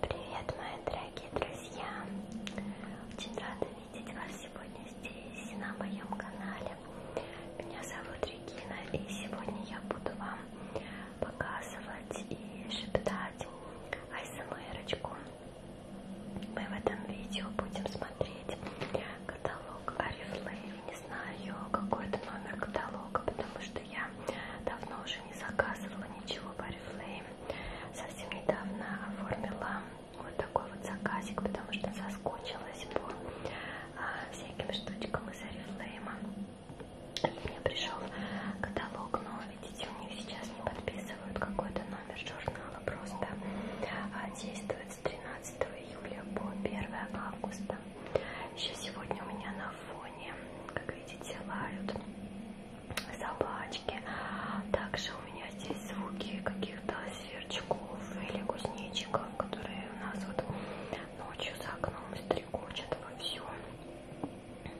Привет, мои дорогие друзья! Очень рада видеть вас сегодня здесь, на моем канале. Меня зовут Регина, и сегодня я буду вам показывать и шептать айсмерочку. Мы в этом видео будем смотреть каталог Арифлейм. Не знаю, какой это номер каталога, потому что я давно уже не заказывала ничего по Арифлейм совсем недавно оформила вот такой вот заказик, потому что соскучилась по а, всяким штучкам из Арифлейма. И мне пришел каталог, но видите, у них сейчас не подписывают какой-то номер журнала, просто а, действует с 13 июля по 1 августа. Еще сегодня у меня на фоне, как видите, лают собачки. Также у меня здесь звуки каких-то сверчков или кузнечиков, которые у нас вот ночью за окном стрекочат вовсю.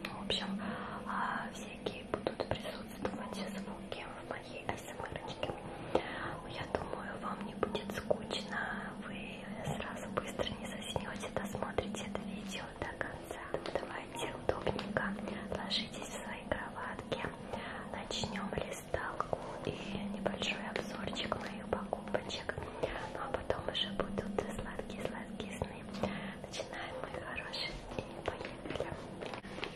Ну, в общем, а, всякие будут присутствовать звуки в моей асмрочке. Эм ну, я думаю, вам не будет скучно. Вы сразу быстро не заснете, досмотрите это видео до конца давайте удобненько ложитесь в свои кроватки. Начнем листалку и небольшой обзорчик моих покупочек. Ну а потом уже будут сладкие-сладкие сны. Начинаем, мои хорошие, и поехали.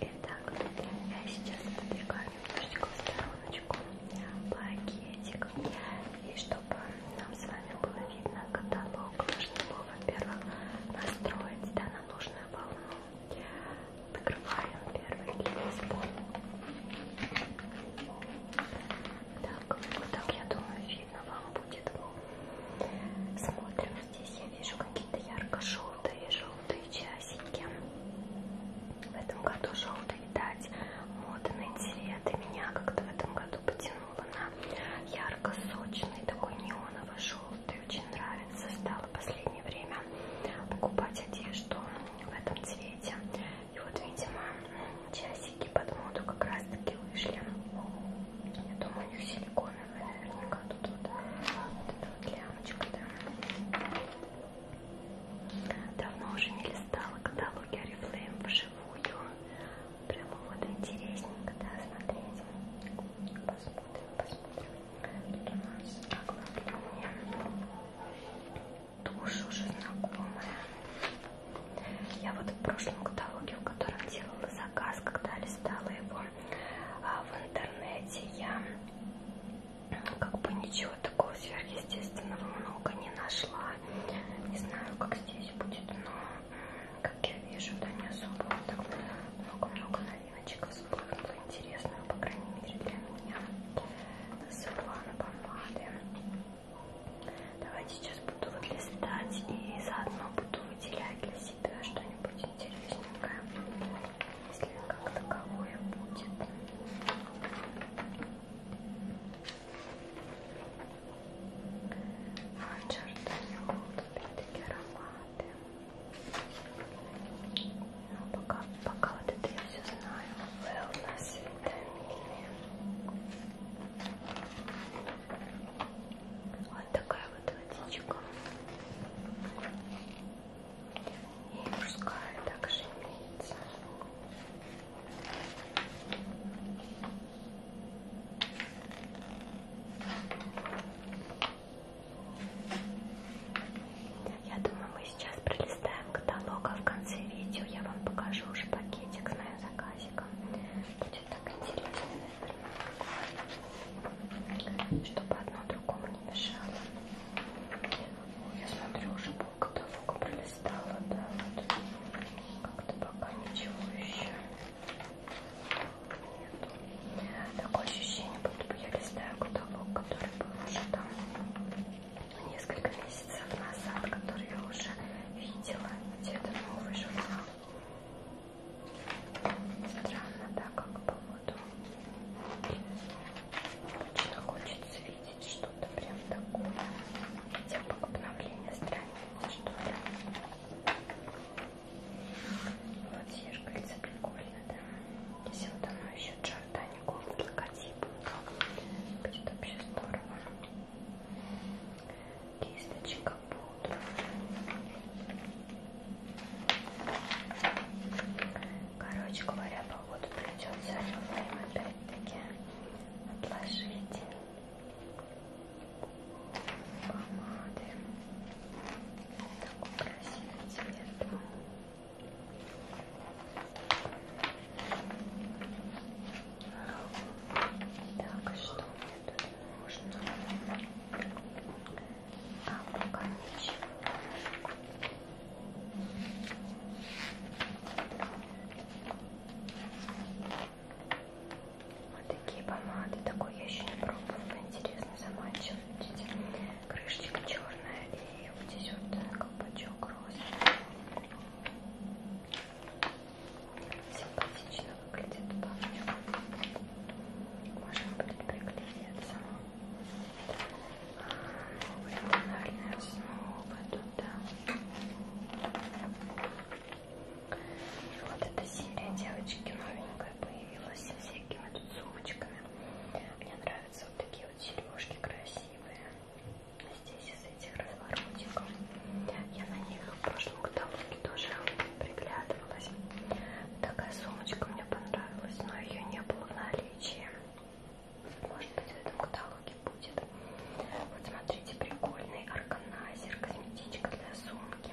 Итак, я сейчас подвигаю немножечко в стороночку пакетик. И чтобы нам с вами было видно каталог, нужно его, во-первых, настроить да, на нужную волну. Открываем первый лист. Так, вот ну так, я думаю, видно вам будет. Смотрим, здесь я вижу какие-то ярко-желтые, желтые часики. В этом году желтый, видать, модный цвет. И меня как-то в этом году потянуло неона. Ярко-сочный, такой неоново-желтый. Очень нравится. Стало в последнее время покупать одежду в этом цвете. И вот, видимо, часики под моду как раз таки вышли. Я думаю, у них силиконовые наверняка тут вот, вот эта вот лямочка, да. Давно уже не листала каталоги Oriflame вживую прямо вот интересненько, да, смотрите. Посмотрим, посмотрим. Тут у нас оглавление. Тушь уже знакомая. Я вот в прошлом каталоге, в котором делала заказ, когда листала его а в интернете, я ну, как бы ничего такого сверхъестественного много не нашла. Не знаю, как здесь будет, но как я вижу, да не особо так много-много новиночек было интересно, по крайней мере для меня. Светлана помады. Давайте сейчас буду выглядать и заодно буду выделять для себя что-нибудь интересненькое, если как таковое будет. Чертанет, опять-таки ароматы. Но пока, пока вот это я все знаю. Wellness, витамины. Вот такая вот водичка. И мужская также имеется. Я думаю, мы сейчас пролистаем каталог, а в конце видео я вам покажу уже пакетик с моим заказиком. Будет так интересно, наверное, чтобы одно другому не мешало. Ой, я смотрю, уже пол каталога пролистала стало, да, вот. Как-то пока ничего еще нет. Такое ощущение, будто бы я листаю каталог, который был уже там несколько месяцев назад, который я уже видела. Где-то новый журнал. Странно, да, как по воду. Очень хочется видеть что-то прям такое. Хотя бы обновление страницы. Вот зеркальце прикольно, да? Если вот оно еще джордани голд логотип, то будет вообще здорово. Кисточка пудра. Короче говоря, походу придется время опять-таки отложить помады. Такой красивый цвет. Так, что мне тут нужно? А пока ничего. Вот такие помады. Такой я еще не пробовала. Интересно, заманчиво. Видите, крышечка черная и вот здесь вот э, колпачок розовый. Симпатично выглядит помню. Можно будет приклеиться. Тональная основа туда. И вот эта серия девочки новенькая появилась со всякими тут сумочками. Мне нравятся вот такие вот сережки красивые. Здесь из этих разворотиков. Я на них в прошлом каталоге тоже приглядывалась. Такая сумочка мне понравилась, но ее не было в наличии. Может быть в этом каталоге сумке будет. Вот смотрите, прикольный органайзер, косметичка для сумки.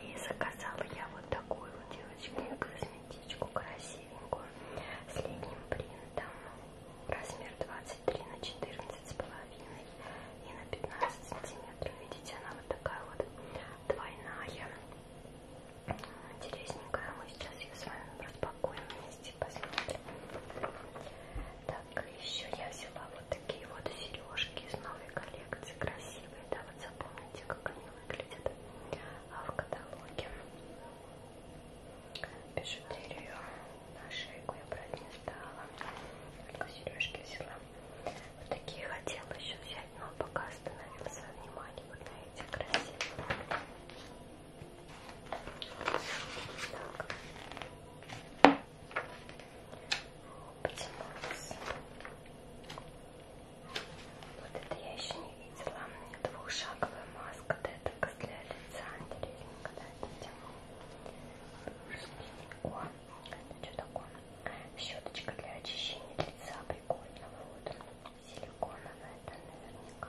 И заказала я вот такую вот девочку косметичку красивенькую с летним принтом. Размер 23 на 14 с половиной и на 15 сантиметров. Видите, она вот такая вот двойная. Интересненькая. Мы сейчас ее с вами распакуем вместе. Давайте посмотрим. Так, еще я взяла вот такие вот сережки из новой коллекции. Красивые, да, вот запомните, как они выглядят а в каталоге. Бижутерию на шейку я брать не стала. Только сережки взяла. Вот такие хотела еще взять, но пока остановился внимание вот на эти красивые. Так. Потянулся. Вот это я еще не видела. Двухшаговая маска, да, только для лица. Интересненько, да, это тема. О, это что такое? Щеточка для очищения лица. Прикольно. Вот. Силиконовая, это наверняка.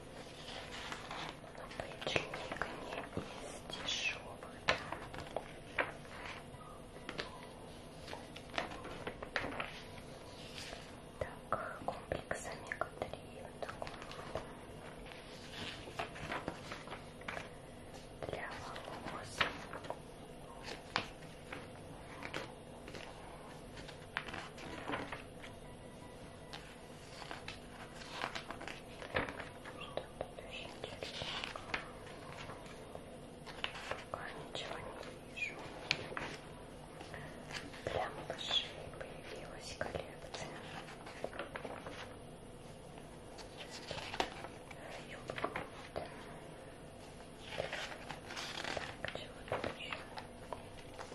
Но печенька не из дешевых. Да. Так, комплекс омега-3 вот такой вот. Для волос. Пока ничего не вижу. Для малышей появилась коллекция. Юбка. Так, чего тут еще?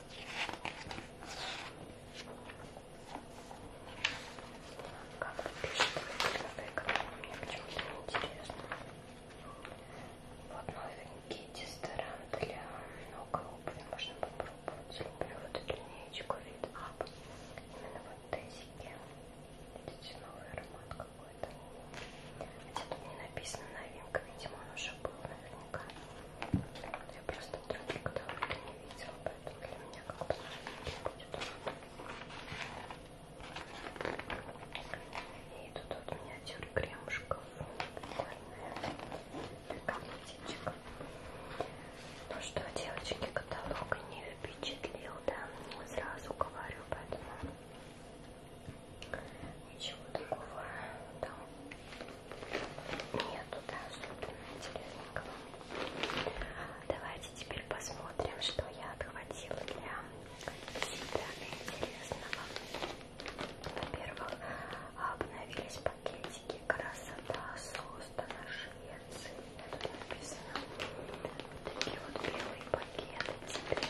Как вы пишете мне почему-то неинтересно. Вот новенький дезодорант для ног и обуви. Можно попробовать. Люблю вот эту линеечку вид Up. Именно вот тезики. Видите, новый аромат какой-то. Хотя тут не написано новинка. Видимо, он уже был, наверное много. Я просто других каталоги не видела, поэтому для меня как бы будет. И тут вот миниатюр кремушков. Для косметичек. Ну что, девочки, каталог не впечатлил, да? Сразу говорю, поэтому ничего такого там нету, да, особенно интересненького. Давайте теперь посмотрим, что я отхватила для себя интересного. Во-первых, обновились пакетики «Красота» создана Швеции. Тут написано вот такие вот белые пакеты теперь.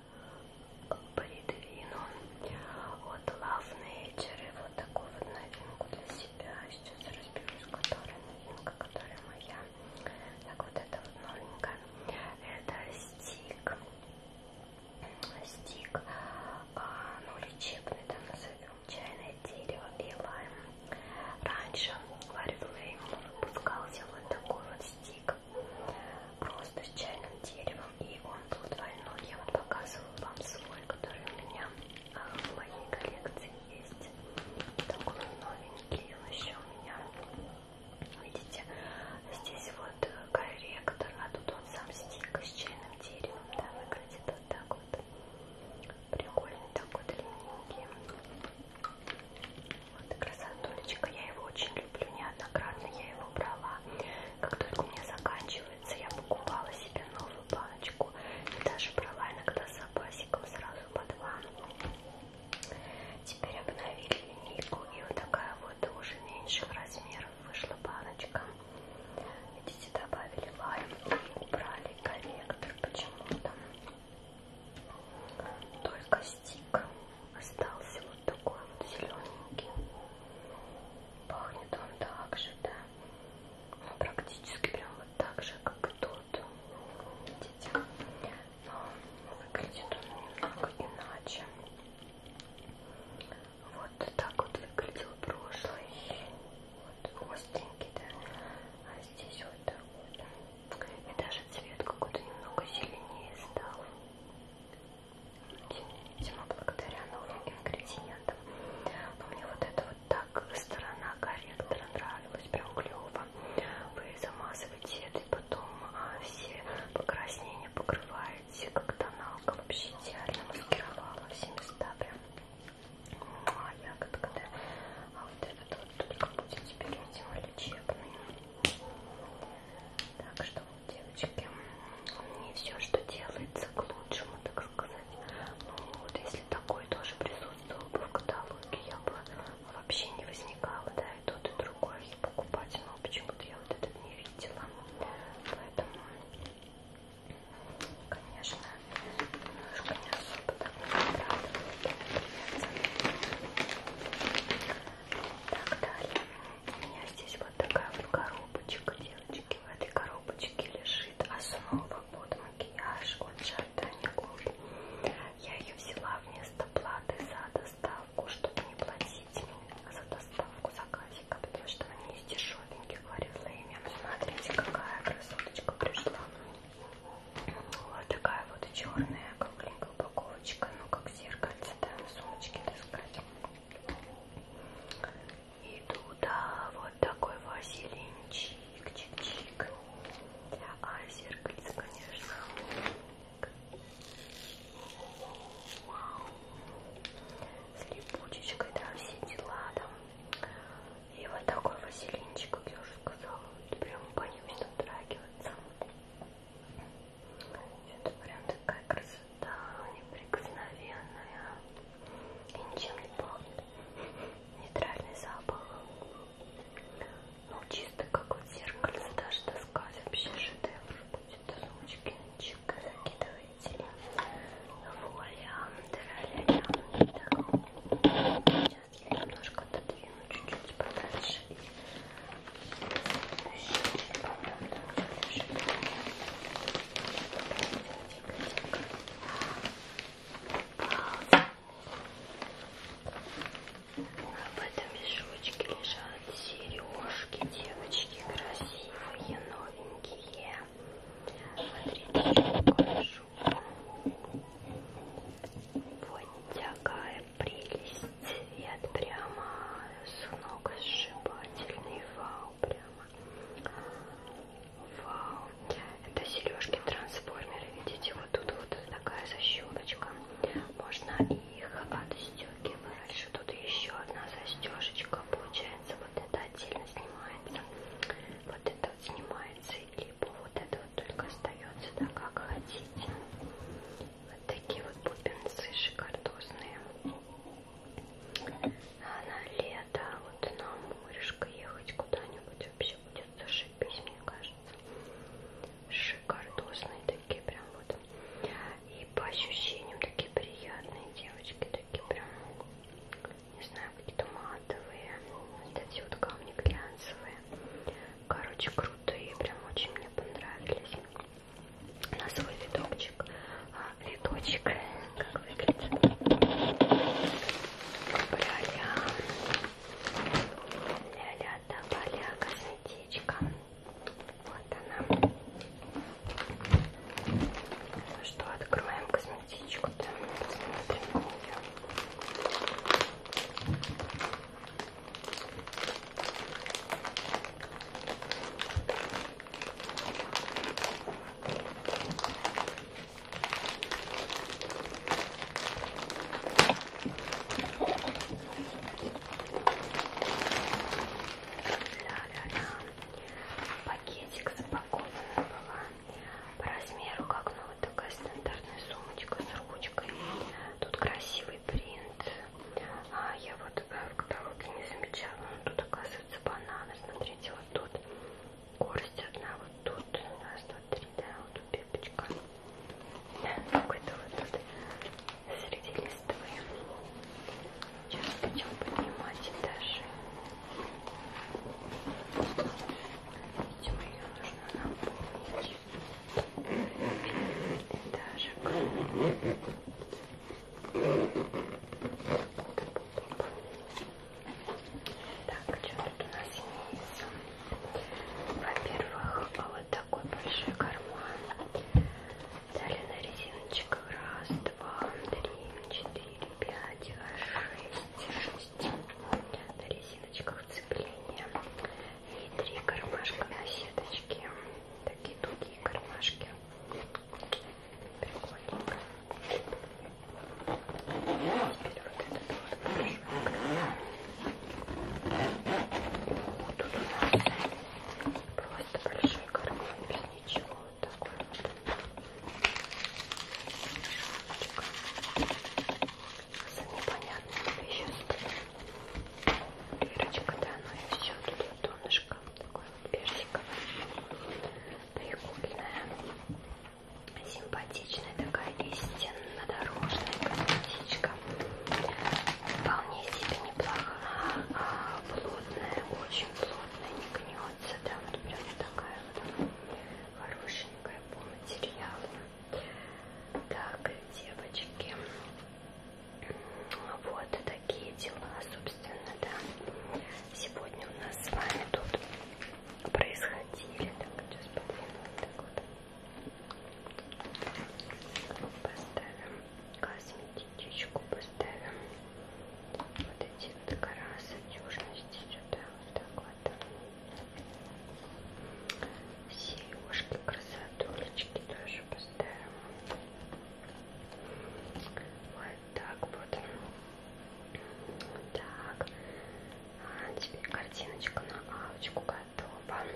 придвину вот Love Nature и вот такую вот новинку для себя. Сейчас разберусь, которая новинка, которая моя. Так, вот это вот новенькая. Это стик. Стик, а, ну лечебный, там назовем. Чайное дерево и лайм. Раньше Ларри Флейм выпускался вот такой вот стик просто с чайным деревом, и он был двойной. Я вот показывала вам свой, который у меня а, в моей коллекции есть. Такой новенький, он еще у меня. Видите, здесь вот э, корректор, а тут он сам стик с чайным деревом, да, выглядит вот так вот. Прикольный такой длинненький. Вот красотулечка, я его очень люблю, неоднократно я его брала. Как только у меня заканчивается, я покупала себе новую баночку. И даже брала иногда с запасиком сразу по два. Теперь обновили линейку, и вот такая вот уже меньших размеров вышла баночка. Видите, добавили лайм и убрали корректор почему-то. Только стик остался вот такой вот зелененький. Пахнет он так же, да. Ну, практически прям вот так же, как и тот. Видите? Но выглядит он немного иначе. Вот так вот выглядел прошлый. Вот остренький, да. А здесь вот такой. Вот. И даже цвет какой-то немного зеленее стал. Видимо, благодаря новым ингредиентам. Но мне вот эта вот так сторона корректора нравилась, прям клево. Вы замазываете это, и потом а, все покраснения покрываете, как тоналка вообще идеально маскировала все места прям. А ягодка, да. А вот этот вот только будет теперь, видимо, лечебный. Так что, девочки, не все, что делается, к лучшему, так сказать. Ну вот, если такой тоже присутствовал бы в каталоге, я бы вообще не возникала, да, и тот, и другой я покупать, но ну, почему-то я вот этот не видела. Поэтому, конечно, немножко не особо так не так далее. У меня здесь вот такая вот коробочка, девочки. В этой коробочке лежит основа под макияж от Giordani Gold. Я ее взяла вместо платы за доставку, чтобы не платить мне за доставку заказика, потому что они из дешевеньких в Смотрите, какая красоточка пришла. Вот такая вот черная кругленькая упаковочка, ну как зеркальце, да, сумочки таскать. И туда вот такой вазелинчик, чик-чик. А зеркальце, конечно. Вау. С липучечкой, да, все дела там. И вот такой вазелинчик, как я уже сказала, вот прям по ним все дотрагивается. Это прям такая красота, неприкосновенная. И ничем не пахнет. Нейтральный запах. Ну, чисто как вот зеркальце даже таскать. Вообще шедевр будет. Сумочки ничего закидываете. Воля, драля, так. Сейчас сейчас я немножко отодвину чуть-чуть подальше и еще чуть подам, потому что лежит в этом мешочке лежат сережки, девочки, красивые, новенькие. Смотрите, покажу. Вот такая прелесть. И от прямо с ног сшибательный. Вау, прямо. Вау. Это сережки-трансформеры. Видите, вот тут вот такая защелочка. Можно их отстегивать. Тут еще одна застежечка. Получается, вот это отдельно снимается. Вот это вот снимается. Либо вот это он только остается так, как хотите. Вот такие вот бубенцы шикардозные. А на лето, вот на морешко ехать куда-нибудь вообще будет зашибись, мне кажется. Шикардозные такие прям вот. И по ощущениям такие приятные девочки, такие прям, не знаю, какие-то матовые. Вот эти вот камни глянцевые. Короче, круто и прям очень мне понравились. На свой видокчик. А, видочек, как выглядит. Браля. Ля-ля, добавля, косметичка. Вот она. Ну что, откроем косметичку-то, посмотрим ее. Ля-ля-ля. Пакетик запакована была по размеру как ну вот такая стандартная сумочка с ручкой тут красивый принт а я вот э, в каталоге не замечала но тут оказывается бананы смотрите вот тут горсть одна вот тут раз два три да вот тут пепочка ну, какой-то вот тут среди листовой сейчас будем поднимать этажи Видимо, ее нужно наполнить. Так, что тут у нас имеется? Во-первых, вот такой большой карман. Далее на резиночках раз, два, три, четыре, пять, шесть, шесть есть на резиночках цепления и три кармашка на сеточке. Такие тугие кармашки. Прикольненько. Теперь вот это тоже вот Тут у нас просто большой карман без ничего. Вот так вот с непонятными веществами. Дырочка, да, ну и все, тут вот донышко, такое вот персиковое, прикольное, симпатичная такая истинно дорожная косметичка. Вполне себе неплохая, а плотная, очень плотная, не гнется, да, вот прям такая вот хорошенькая по материалу. Так, девочки, вот такие дела, собственно, да. Сегодня у нас с вами тут происходили. Так, сейчас подвину так вот. Поставим косметичку, поставим вот эти красотюжности сюда, вот так вот. Сережки, красотулечки тоже поставим. Вот так вот. Так. А теперь картиночка на авочку готова.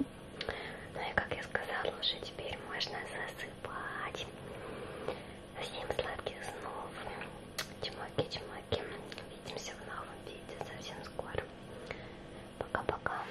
Ну и как я сказала, уже теперь можно засыпать. Всем сладких снов. Чмоки, чмоки. Увидимся в новом видео совсем скоро. Пока-пока.